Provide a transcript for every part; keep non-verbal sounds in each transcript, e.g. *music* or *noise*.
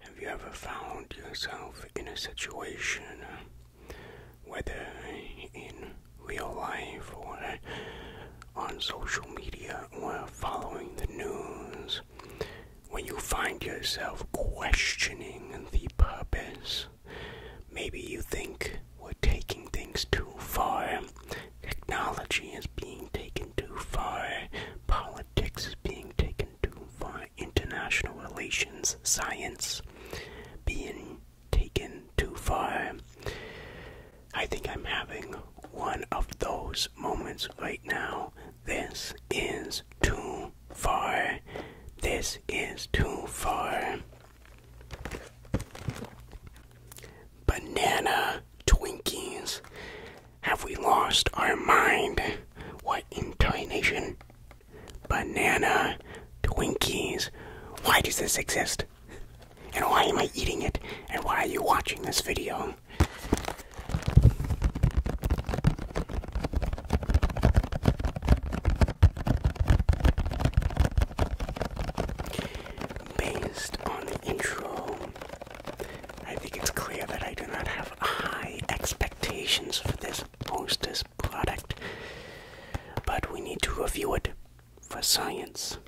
Have you ever found yourself in a situation, uh, whether in real life or on social media or following the news, when you find yourself questioning the purpose? Maybe you think we're taking things too far, technology is being taken too far, politics politics being taken too far, international relations, science being taken too far. I think I'm having one of those moments right now. This is too far. This is too far. Banana Twinkies. Have we lost our mind? What in Banana Twinkies. Why does this exist? And why am I eating it? And why are you watching this video? Based on the intro I think it's clear that I do not have high expectations for this Hostess product, but we need to review it for science.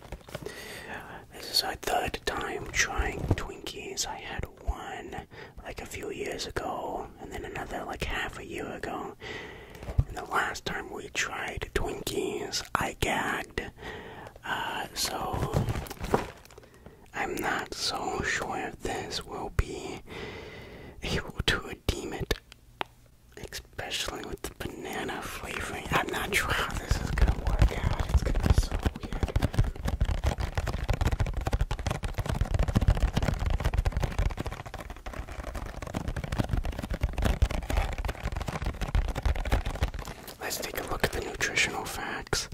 This is our third time trying Twinkies. I had one like a few years ago, and then another like half a year ago. And the last time we tried Twinkies, I gagged. Uh, so, I'm not so sure if this will be able to redeem it, especially with the banana flavoring. I'm not sure how this is gonna work out, it's gonna be so weird. Let's take a look at the nutritional facts.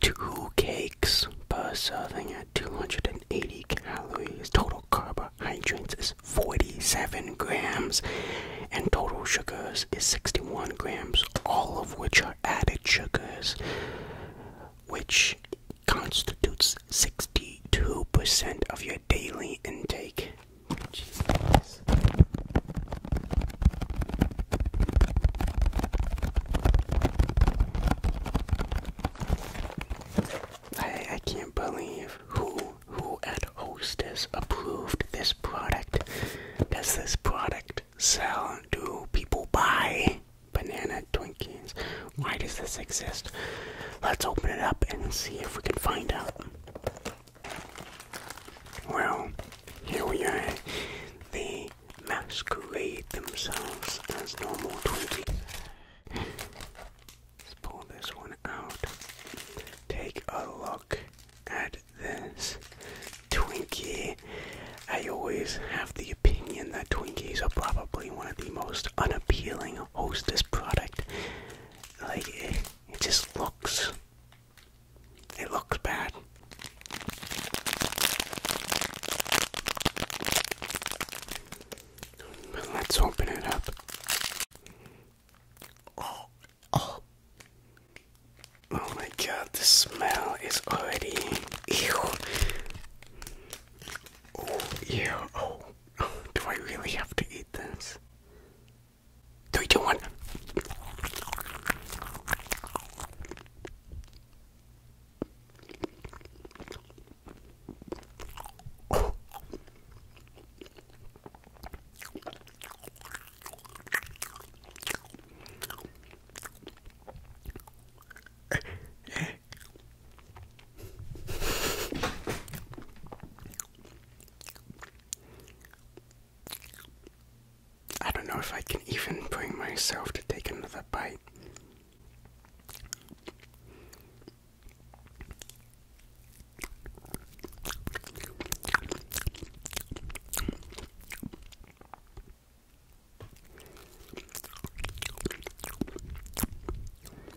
Two cakes per serving at 280 calories. Total carbohydrates is 47 grams, and total sugars is 61 grams, all of which are added sugars, which constitutes 62% of your daily intake. I, I can't believe who who at Hostess approved this product. Does this product sell? Do people buy banana Twinkies? Why does this exist? Let's open it up and see if we can find out. Well, here we are. They masquerade themselves as normal Twinkies. Let's pull this one out. Take a look at this Twinkie. I always have the opinion that Twinkies are probably one of the most unappealing hostess product. Like, eh, it just looks. It looks bad. Let's open it up. Oh, oh. Oh my god, the smell is already. Ew. Oh, ew. Oh, do I really have to hate Three, two, one. I don't know if I can even bring myself to take another bite.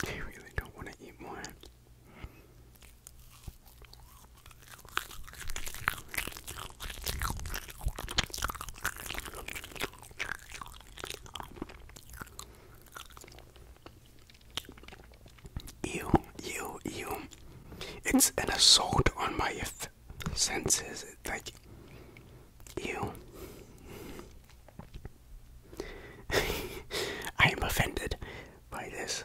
I really don't want to eat more. Ew, ew, ew. It's an assault on my senses. like, ew. I am offended by this.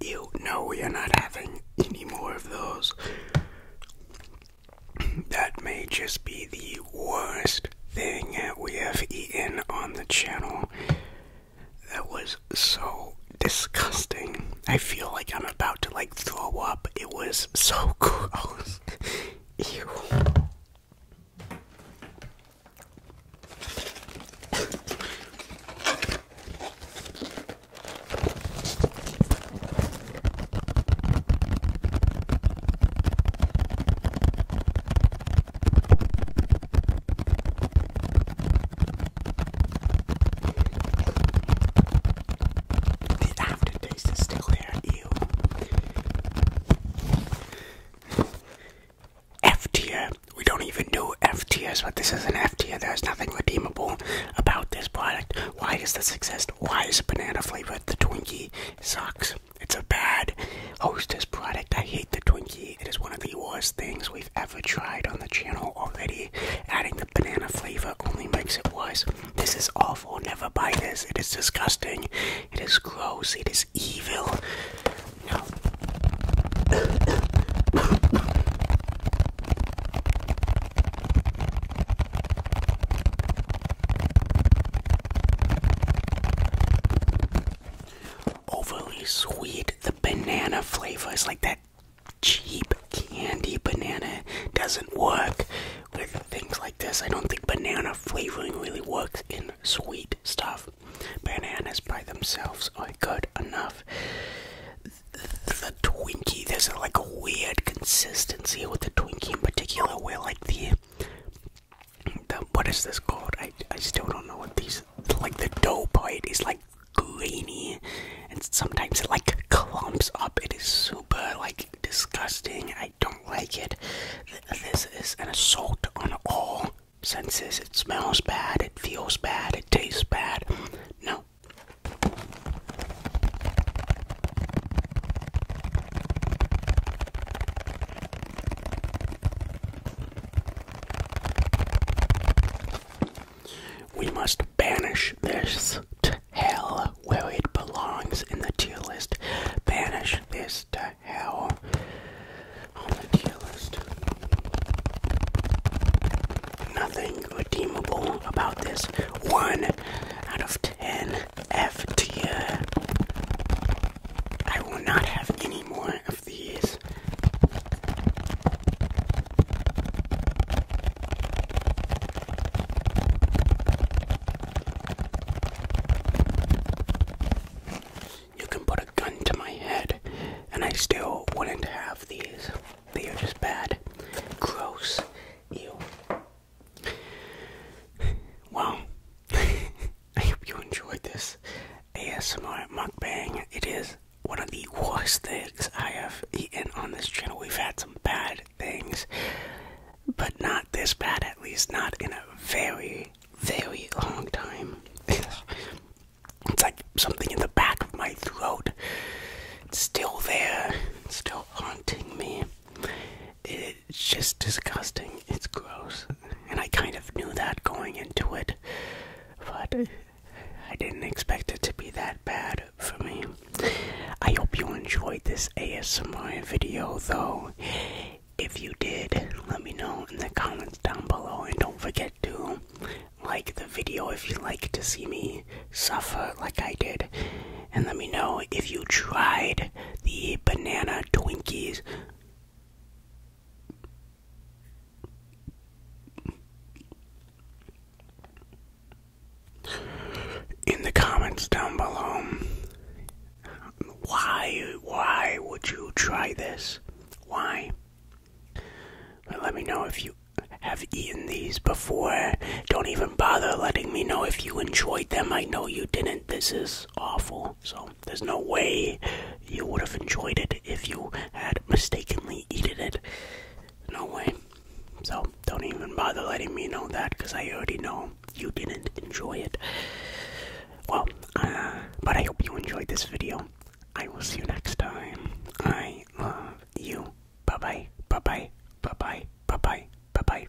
You know we are not having any more of those that may just be the worst thing we have eaten on the channel. That was so disgusting. I feel like I'm about to like throw up. It was so *laughs* gross. Ew. The aftertaste is still there, ew. F We don't even do F tiers, but this is an F There's nothing redeemable about this product. Why does this exist? Why is banana flavored? The Twinkie sucks. It's a bad Hostess product. I hate the Twinkie. It is one of the worst things we've ever tried on the channel already. Adding the banana flavor only makes it worse. This is awful. Never buy this. It is disgusting. It is gross. It is evil. No. Overly sweet, the banana flavor is like that cheap candy banana doesn't work with things like this. I don't think banana flavoring really works in sweet stuff. Bananas by themselves are good enough the Twinkie, there's a, like a weird consistency with the Twinkie in particular, where like the, the what is this called? I I still don't know what these like the dough part is like grainy, and sometimes it like clumps up. It is super like disgusting. I don't like it. This is an assault on all senses. It smells bad. It feels bad. It tastes bad. No, we must banish this to hell where it belongs in the tier list. Banish this to hell oh, Nothing redeemable about this. One out of ten F tier. I will not have any more of these you can put a gun to my head and I still wouldn't have these. They are just bad. Gross. Ew. Well, *laughs* I hope you enjoyed this ASMR mukbang. It is one of the worst things I have eaten on this channel. We've had some bad things, but not this bad, at least not in a very, very long time. *laughs* It's like something in the back of my throat. It's still there. It's still haunting me. It's just disgusting. It's gross. And I kind of knew that going into it. But I didn't expect it to be that bad for me. I hope you enjoyed this ASMR video, though. If you did, let me know in the comments down below and don't forget to like the video if you like to see me suffer like I did. And let me know if you tried the banana Twinkies. In the comments down below, why why would you try this? Why? let me know if you have eaten these before. Don't even bother letting me know if you enjoyed them. I know you didn't. This is awful. So there's no way you would have enjoyed it if you had mistakenly eaten it. No way. So don't even bother letting me know that because I already know you didn't enjoy it. Well, uh, but I hope you enjoyed this video. I will see you next time. I love you. Bye bye. Bye bye. Bye bye. Bye bye. Bye bye.